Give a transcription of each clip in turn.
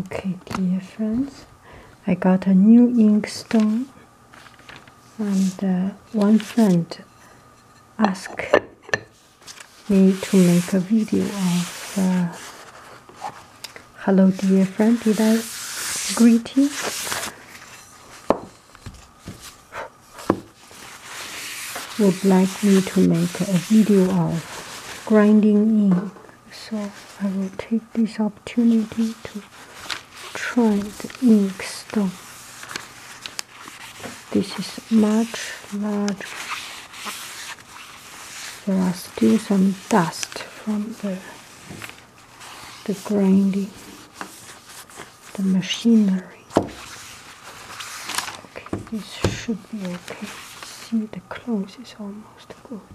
Okay, dear friends, I got a new inkstone, and uh, one friend asked me to make a video of uh, "Hello, dear friend, did I greet you?" Would like me to make a video of grinding in. So I will take this opportunity to try the ink stone. This is much larger. There are still some dust from the the grinding, the machinery. Okay, this should be okay. See, the clothes is almost good.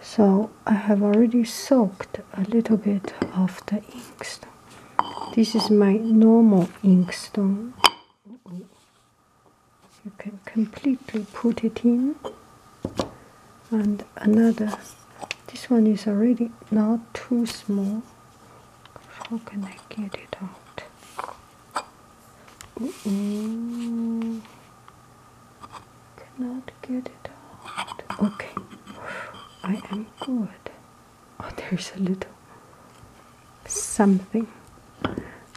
So I have already soaked a little bit of the inkstone. This is my normal inkstone. You can completely put it in. And another, this one is already not too small. How can I get it out? Cannot get it out. Okay, I am good. Oh, there's a little something.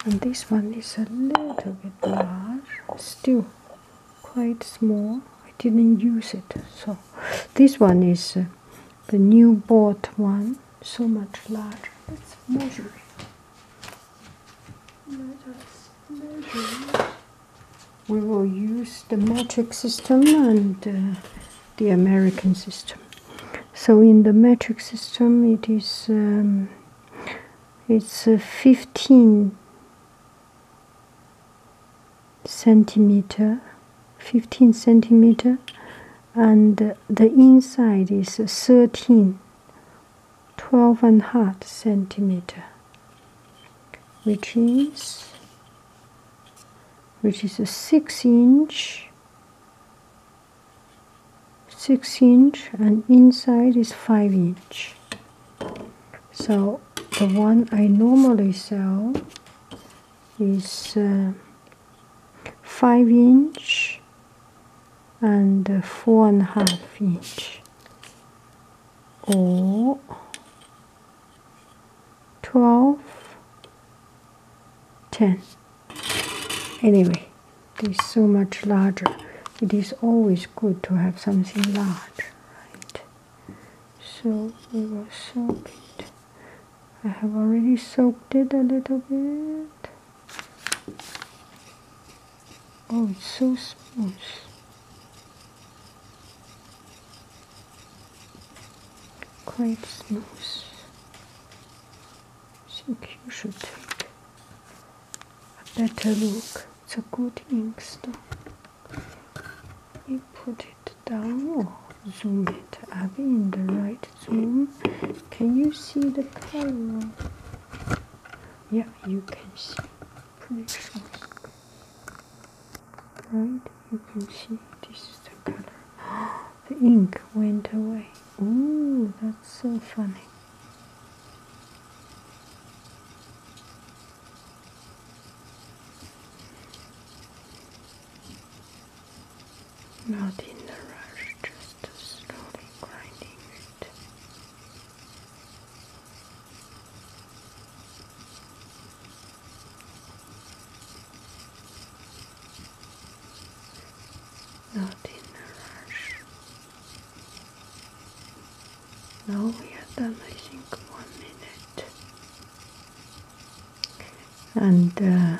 And this one is a little bit large, still quite small. I didn't use it, so this one is uh, the new bought one, so much larger. Let's measure it. We will use the metric system and uh, the American system. So in the metric system, it is um, it's uh, 15 centimeter, 15 centimeter, and uh, the inside is 13 Twelve and half centimeter which is which is a six inch six inch and inside is five inch so the one I normally sell is uh, 5 inch and 4 and a half inch or 12 10 anyway it is so much larger it is always good to have something large right so we will it i have already soaked it a little bit Oh, it's so smooth. Quite smooth. I think you should take a better look. It's a good ink stock. You put it down zoom it up in the right so, can you see the color yeah you can see pretty sure right you can see this is the color the ink went away oh that's so funny not in a rush, just slowly grinding it. Not in a rush. Now we have done, I think, one minute. And uh,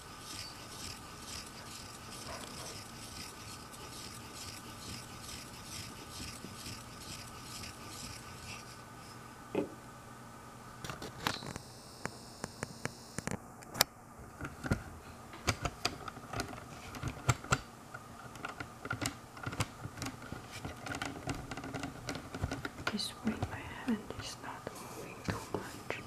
This way my hand is not moving too much.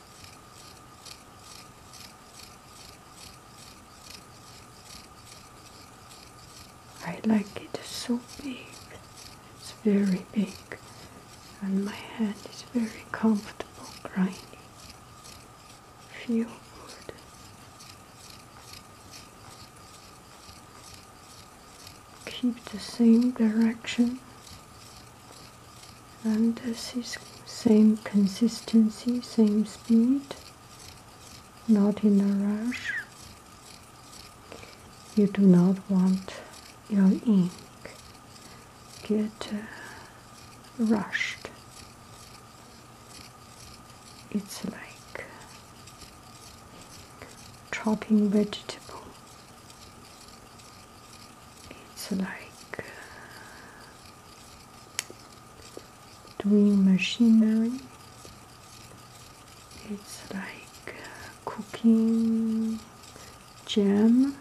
I like it so big. It's very big. And my hand is very comfortable grinding. Feel good. Keep the same direction and this is same consistency, same speed, not in a rush. You do not want your ink get uh, rushed. It's like chopping vegetables it's like uh, doing machinery it's like uh, cooking jam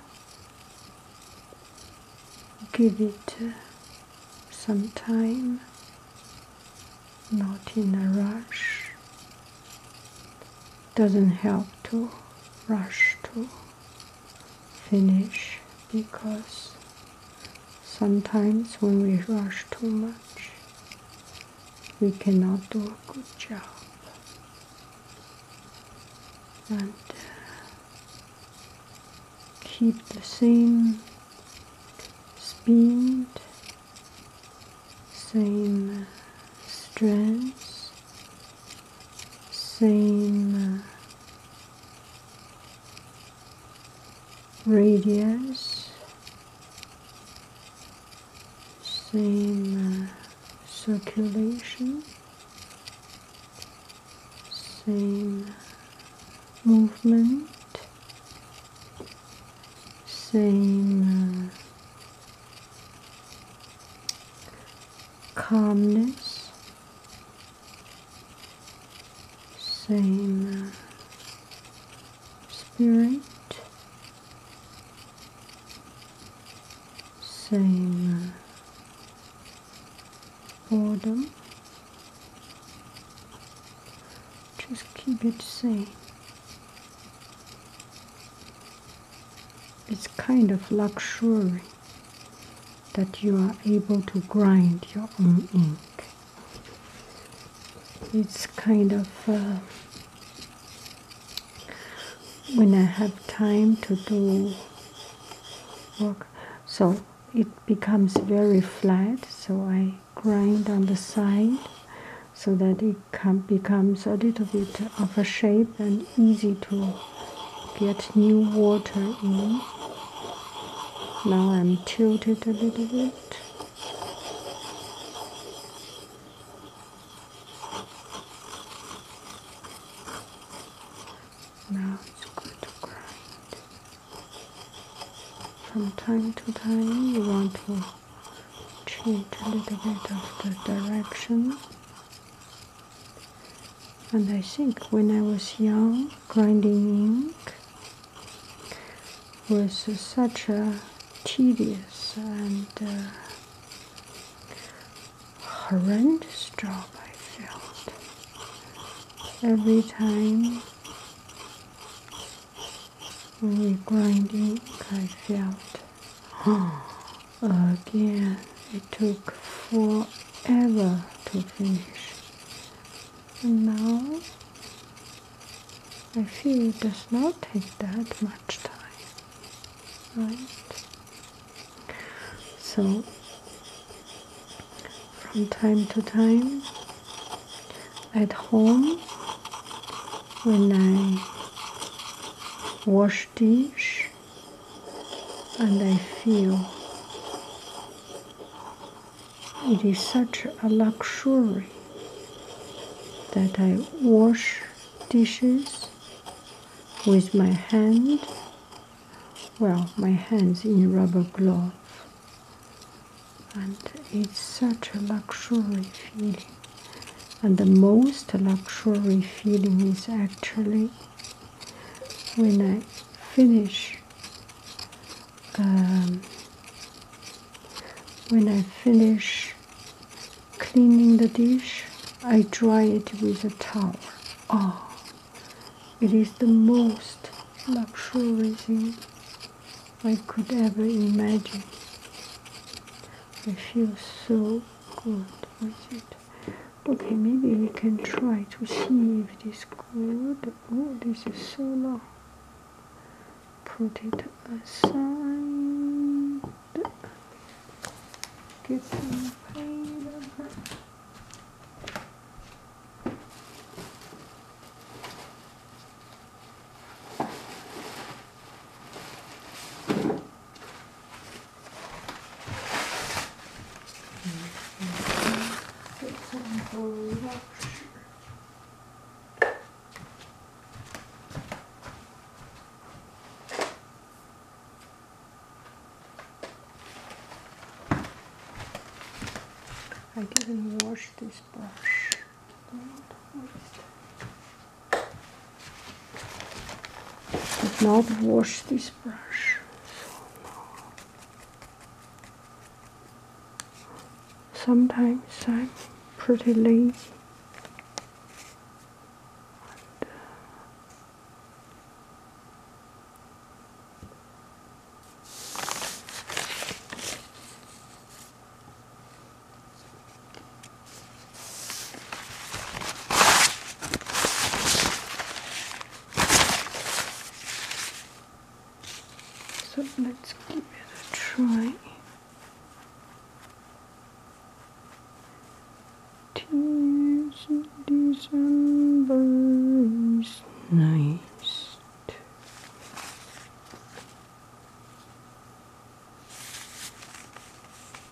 give it uh, some time not in a rush doesn't help to rush to finish because sometimes when we rush too much we cannot do a good job and uh, keep the same speed same uh, strength same uh, radius, same uh, circulation, same uh, movement, same calmness, same spirit, same order. Just keep it same it's kind of luxury that you are able to grind your own ink. It's kind of uh, when I have time to do work, so it becomes very flat. So I grind on the side so that it becomes a little bit of a shape and easy to get new water in. Now I'm tilted a little bit. Now it's good to grind. From time to time you want to change a little bit of the direction. And I think when I was young, grinding ink was such a tedious and uh, horrendous job I felt. Every time when we grind ink, I felt, oh, Again, it took forever to finish. And now I feel it does not take that much time, right? So, from time to time, at home, when I wash stitch and I feel it is such a luxury that I wash dishes with my hand well my hands in rubber glove and it's such a luxury feeling and the most luxury feeling is actually when I finish um, when I finish cleaning the dish, I dry it with a towel. Oh, it is the most luxurious thing I could ever imagine. It feels so good, is it? Okay, maybe we can try to see if this good. Oh, this is so long. Put it aside. Get some pain. I didn't wash this brush. I've not wash this brush. Sometimes I'm pretty lazy. Uh, so let's give it a try. Tears in December is nice.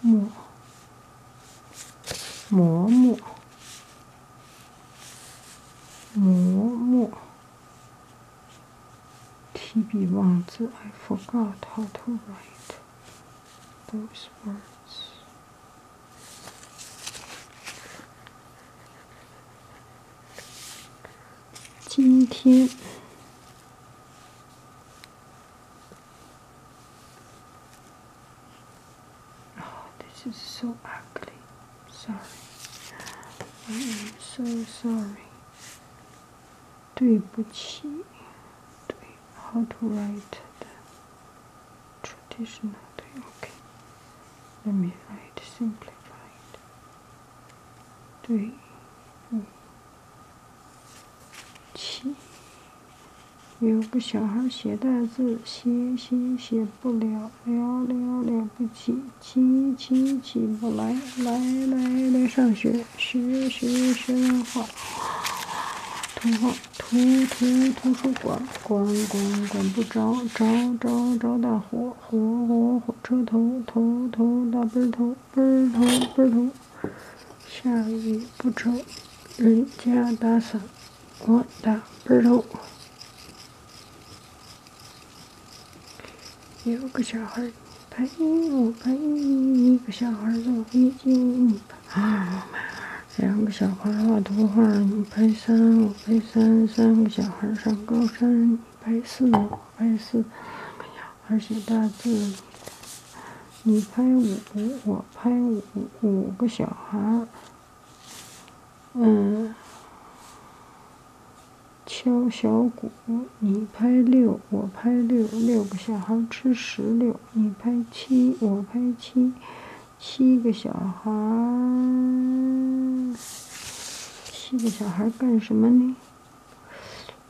磨磨磨磨磨。TB Wangzi, I forgot how to write those words. 今天。Oh, this is so ugly. Sorry. I am so sorry. 对不起。对，how to write that? i t i o k 让我写，t 化对。五七有个小孩写大字，写写写不了了了了不起，起起起不来来来来上学学学学画画，通过。图图图书馆管管管不着着着着大火火火火车头头头大背头儿头奔头儿头，下雨不愁，人家打伞，我打背头。有个小孩儿，陪我陪一个小孩儿坐飞机。啊，两个小孩画图画，你拍三，我拍三，三个小孩上高山，你拍四，我拍四，孩写大字，你拍五，我拍五，五个小孩，嗯，敲小鼓，你拍六，我拍六，六个小孩吃石榴，你拍七，我拍七。七个小孩儿，七个小孩儿干什么呢？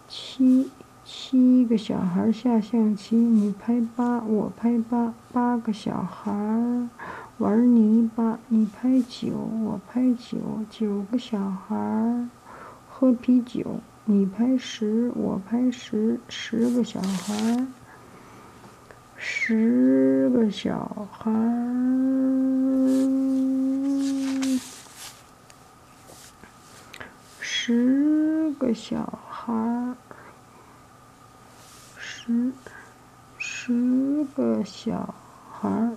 七七个小孩儿下象棋，你拍八，我拍八；八个小孩儿玩泥巴，你拍九，我拍九；九个小孩儿喝啤酒，你拍十，我拍十；十个小孩儿。十个小孩儿，十个小孩儿，十十个小孩儿。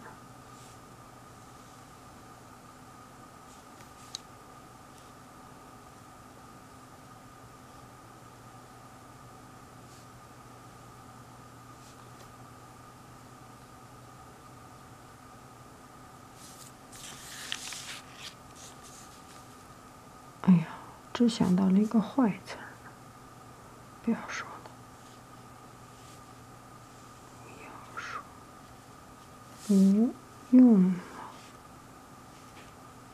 哎呀，只想到了一个坏词儿，不要说了，不要说，不用了。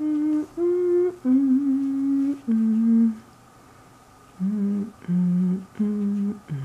Mm -mm -mm -mm. Mm -mm -mm -mm.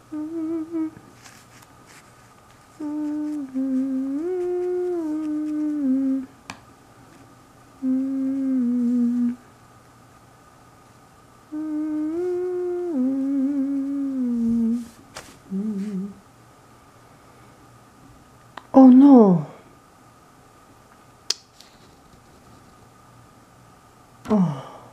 Oh no. Oh.